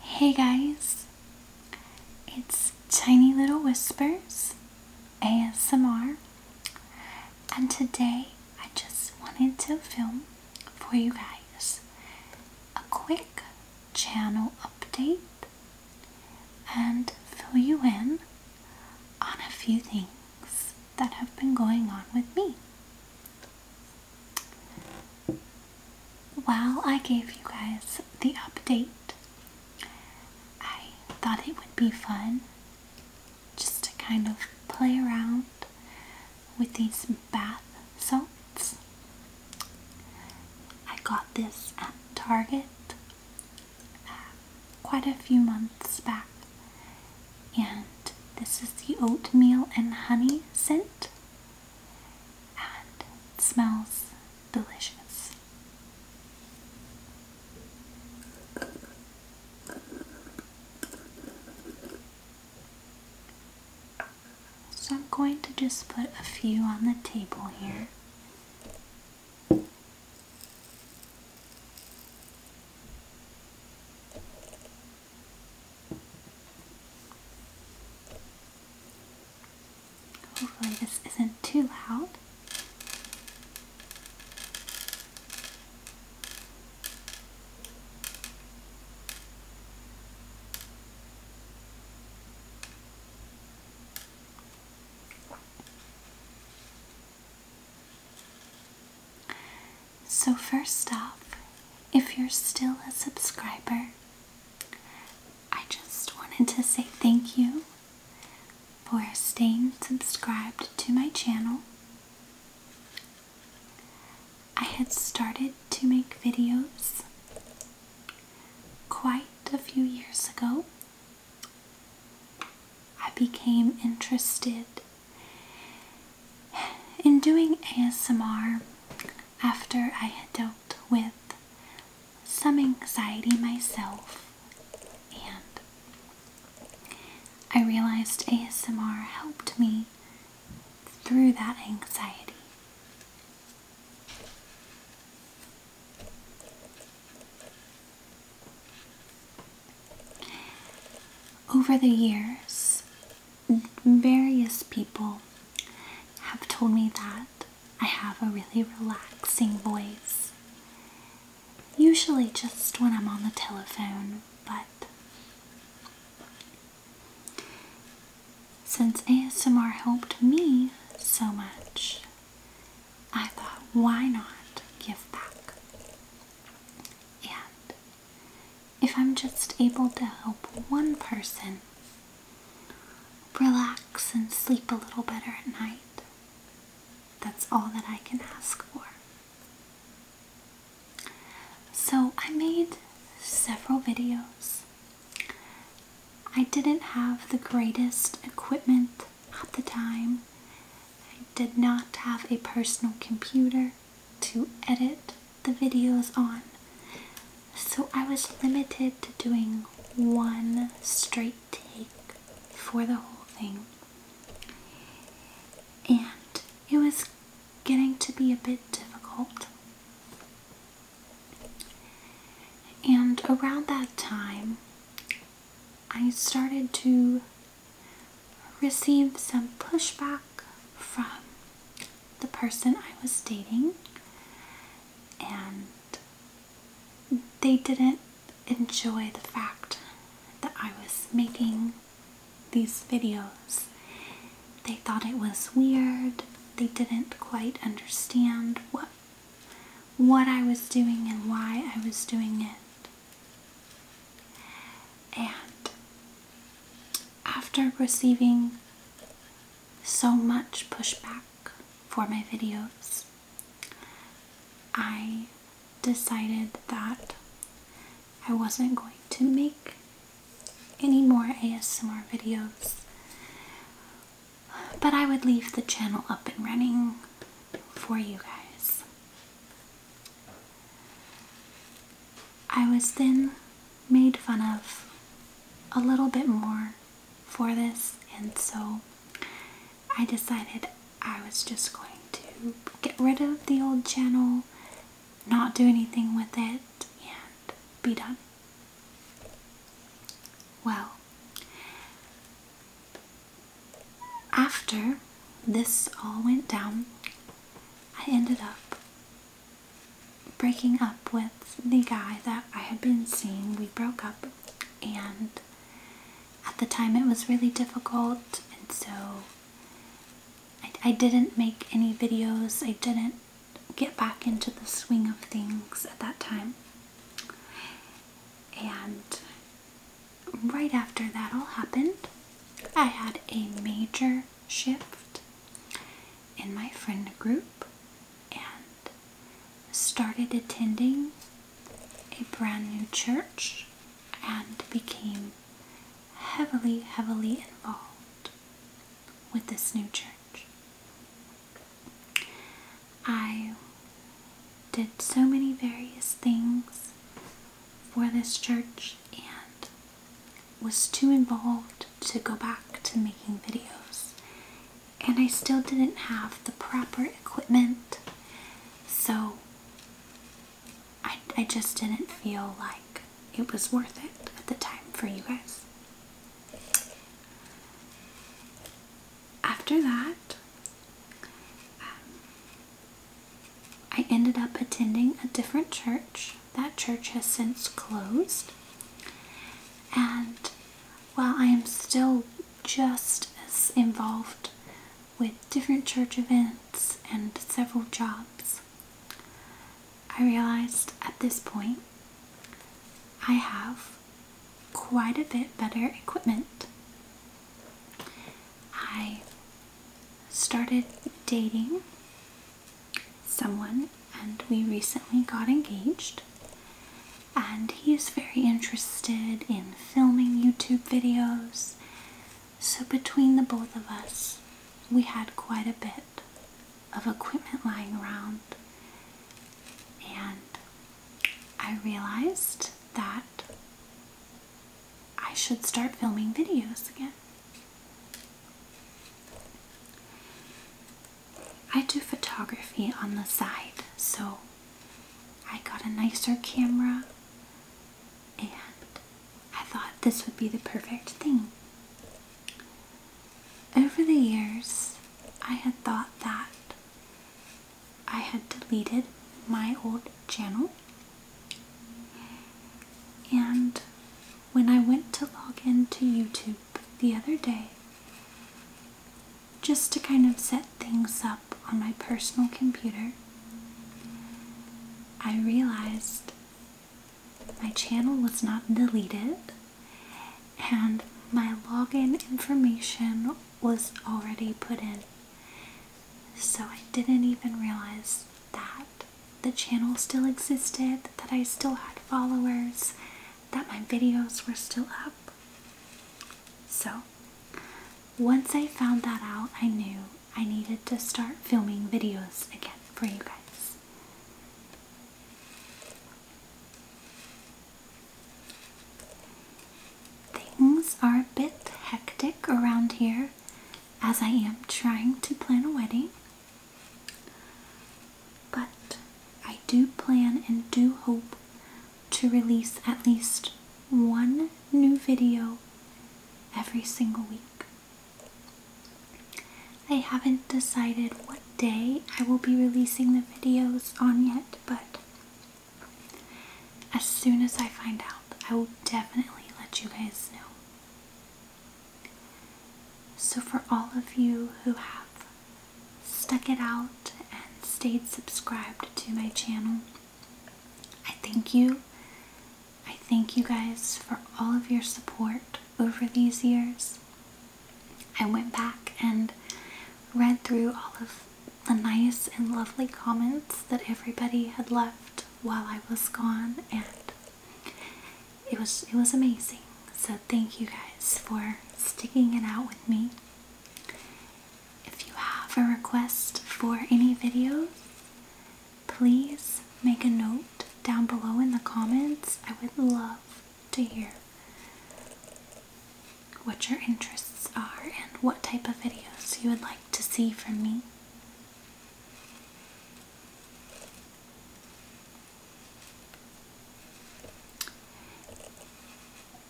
Hey guys, it's Tiny Little Whispers ASMR, and today I just wanted to film for you guys a quick channel update and fill you in on a few things that have been going on with me while I gave you guys the update, I thought it would be fun just to kind of play around with these bath salts. I got this at Target uh, quite a few months back and this is the oatmeal and honey scent. And it smells delicious. So I'm going to just put a few on the table here. Hopefully this isn't too loud. So, first off, if you're still a subscriber, I just wanted to say thank you for staying subscribed to my channel. I had started to make videos quite a few years ago. I became interested in doing ASMR, after I had dealt with some anxiety myself, and I realized ASMR helped me through that anxiety. Over the years, various people have told me that I have a really relaxing voice. Usually just when I'm on the telephone, but since ASMR helped me so much, I thought, why not give back? And if I'm just able to help one person relax and sleep a little better at night, that's all that I can ask for. So I made several videos. I didn't have the greatest equipment at the time. I did not have a personal computer to edit the videos on. So I was limited to doing one straight take for the whole thing. And it was getting to be a bit difficult. And around that time, I started to received some pushback from the person I was dating, and they didn't enjoy the fact that I was making these videos. They thought it was weird. They didn't quite understand what what I was doing and why I was doing it. And after receiving so much pushback for my videos, I decided that I wasn't going to make any more ASMR videos, but I would leave the channel up and running for you guys. I was then made fun of a little bit more for this, and so I decided I was just going to get rid of the old channel, not do anything with it, and be done. Well, after this all went down, I ended up breaking up with the guy that I had been seeing. We broke up, and at the time it was really difficult, and so I, didn't make any videos. I didn't get back into the swing of things at that time. And right after that all happened, I had a major shift in my friend group and started attending a brand new church and became heavily, heavily involved with this new church. I did so many various things for this church and was too involved to go back to making videos. And I still didn't have the proper equipment, so I, I just didn't feel like it was worth it at the time for you guys after that, um, I ended up attending a different church. That church has since closed. And while I am still just as involved with different church events and several jobs, I realized at this point I have quite a bit better equipment. I started dating someone and we recently got engaged. And he is very interested in filming YouTube videos. So, between the both of us, we had quite a bit of equipment lying around. And I realized that I should start filming videos again. I do photography on the side, so I got a nicer camera and I thought this would be the perfect thing. Over the years, I had thought that I had deleted my old channel. And when I went to log in to YouTube the other day, just to kind of set things up on my personal computer, I realized my channel was not deleted and my login information was already put in. So I didn't even realize that the channel still existed, that I still had followers, that my videos were still up. So once I found that out, I knew I needed to start filming videos again for you guys. Things are a bit hectic around here as I am trying to plan a wedding. But I do plan and do hope to release at least one new video every single week. I haven't decided what day I will be releasing the videos on yet, but as soon as I find out, I will definitely let you guys know. So, for all of you who have stuck it out and stayed subscribed to my channel, I thank you. I thank you guys for all of your support over these years. I went back and read through all of the nice and lovely comments that everybody had left while I was gone and it was it was amazing. So thank you guys for sticking it out with me. If you have a request for any videos, please make a note down below in the comments. I would love to hear what your interests are and what type of videos you would like to see from me.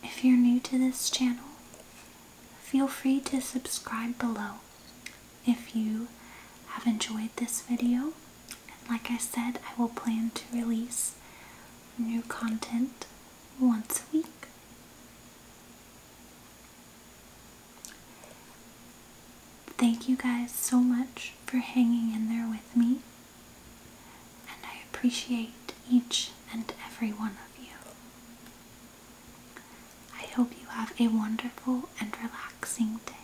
If you're new to this channel, feel free to subscribe below if you have enjoyed this video. And like I said, I will plan to release new content once a week. Thank you guys so much for hanging in there with me, and I appreciate each and every one of you. I hope you have a wonderful and relaxing day.